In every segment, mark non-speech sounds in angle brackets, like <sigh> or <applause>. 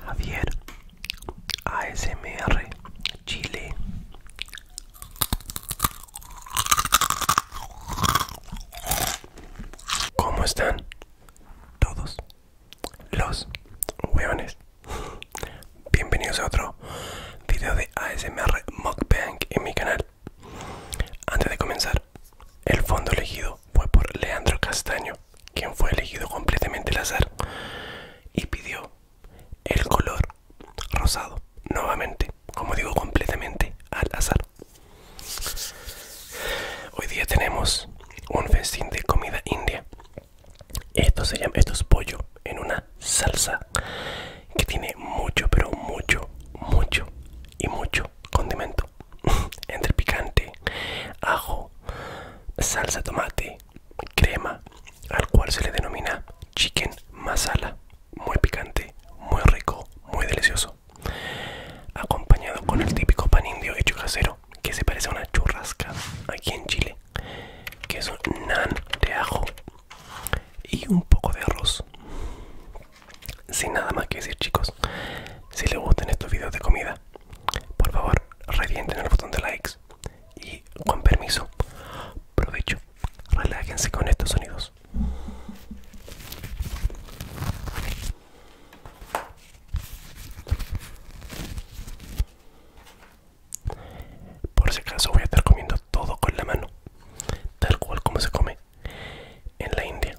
Javier ASMR Chile ¿Cómo están todos los huevones? Bienvenidos a otro video de ASMR Mukbang en mi canal. Antes de comenzar, el fondo elegido fue por Leandro Castaño, quien fue elegido completamente al azar y pidió el color rosado, nuevamente, como digo, completamente al azar. Hoy día tenemos un festín de comida india. Esto se esto es pollo en una salsa que tiene mucho, pero mucho, mucho y mucho condimento. <laughs> entre picante, ajo, salsa tomate, crema, al cual se le denomina chicken masala. Muy picante, muy rico, muy delicioso. Acompañado con el típico pan indio hecho casero que se parece a una churrasca aquí en Chile, que es un nan de ajo y un poco de arroz. Sin nada más que decir chicos, si les gustan estos videos de comida, por favor revienten el botón de likes y con permiso, provecho, relájense con estos sonidos. Por si acaso voy a estar comiendo todo con la mano, tal cual como se come en la India.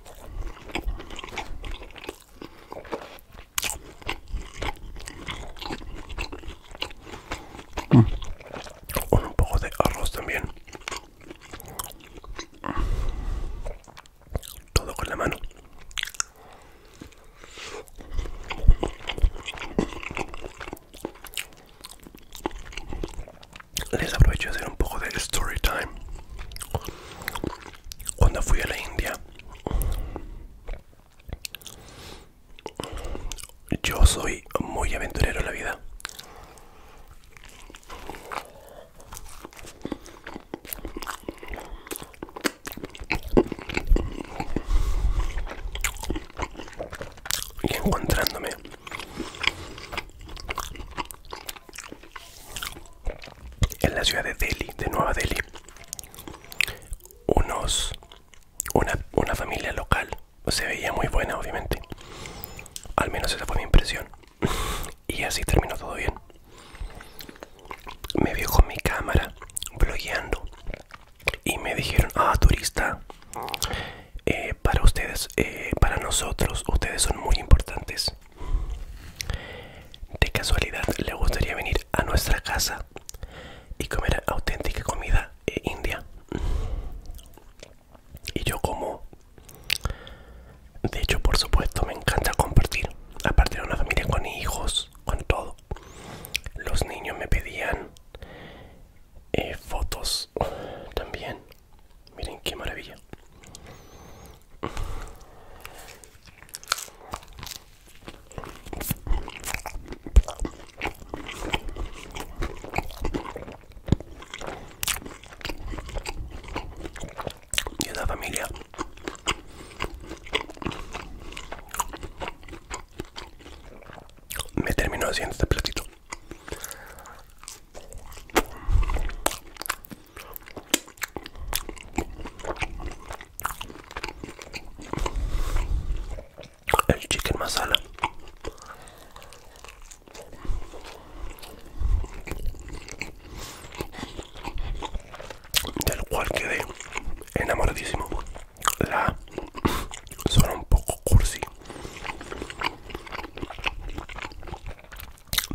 Mm. Con un poco de arroz también. Todo con la mano les aprovecho de hacer un poco de story time. Cuando fui a la India, yo soy muy aventurero en la vida. Y encontrándome en la ciudad de Delhi, de Nueva Delhi, unos, una, una familia local, se veía muy buena obviamente, al menos esa fue mi impresión, <laughs> y así terminó todo bien. Me vio con mi cámara, blogueando, y me dijeron, ah, turista, eh, para ustedes, eh, para nosotros, ustedes son muy importantes. De casualidad, ¿le gustaría venir a nuestra casa y comer auténtica comida eh, india? Y yo como... De hecho, por supuesto, me encanta compartir. Aparte de una familia con hijos, con todo. Los niños me pedían fotos también Miren qué maravilla. Y la familia. Me terminó haciendo este platito. El chicken masala. Del cual quedé enamoradísimo la suena un poco cursi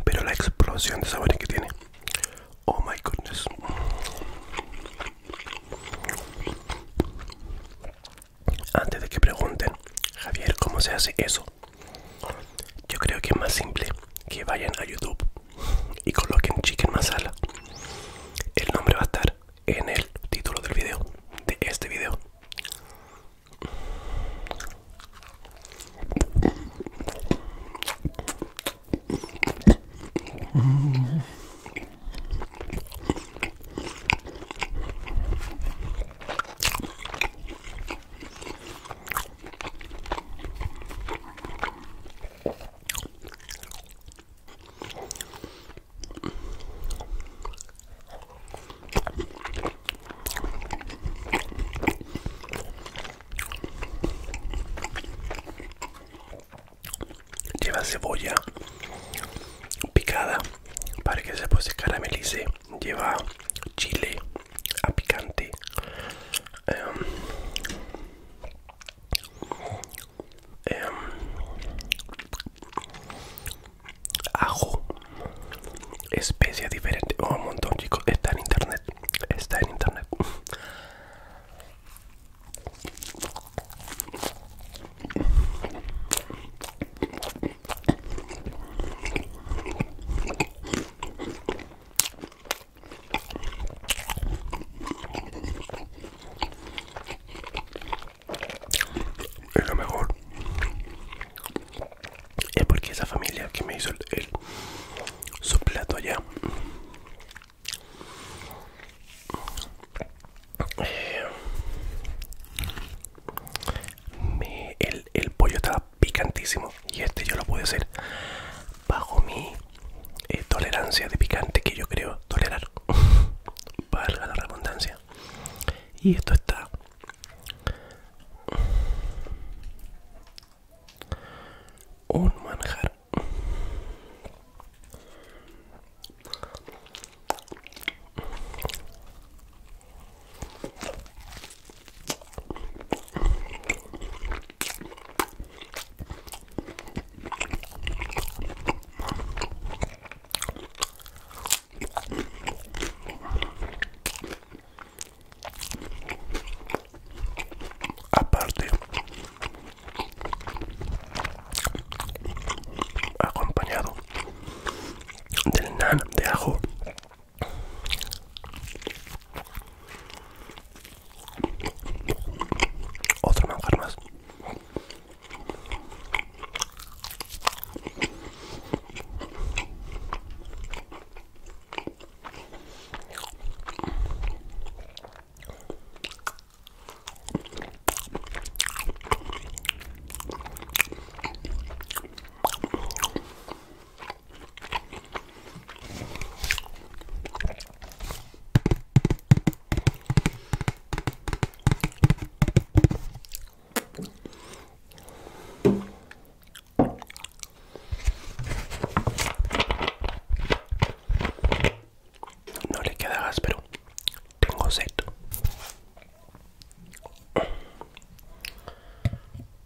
pero la explosión de sabores que tiene oh my goodness antes de que pregunten Javier cómo se hace eso yo creo que es más simple que vayan a youtube y coloquen chicken masala el nombre va a estar en el título del video, de este video. Lleva cebolla picada para que se se caramelice. Lleva chile a picante. Em, eh, ajo especia diferente oh, un montón chicos está en internet está en internet es lo mejor es porque esa familia que me hizo el, su plato allá eh, el, el pollo estaba picantísimo y este yo lo pude hacer bajo mi eh, tolerancia de picante que yo creo tolerar. <laughs> Valga la redundancia. Y esto está. Un manjar. Aparte, acompañado del nan de ajo otro manjar más. No le queda gas, pero tengo sed.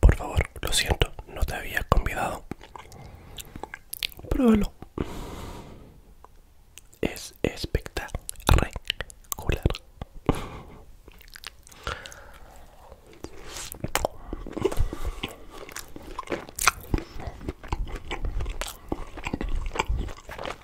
Por favor, lo siento, no te había convidado. Pruébalo. Es espectacular.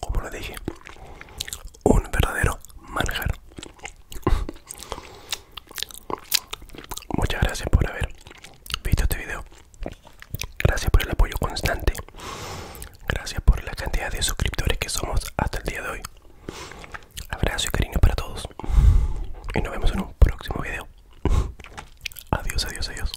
Como lo dije, un verdadero manjar. Muchas gracias por haber visto este video. Gracias por el apoyo constante. Gracias por la cantidad de suscriptores que somos hasta el día de hoy. Abrazo y cariño para todos. Y nos vemos en un próximo video. Adiós, adiós, adiós.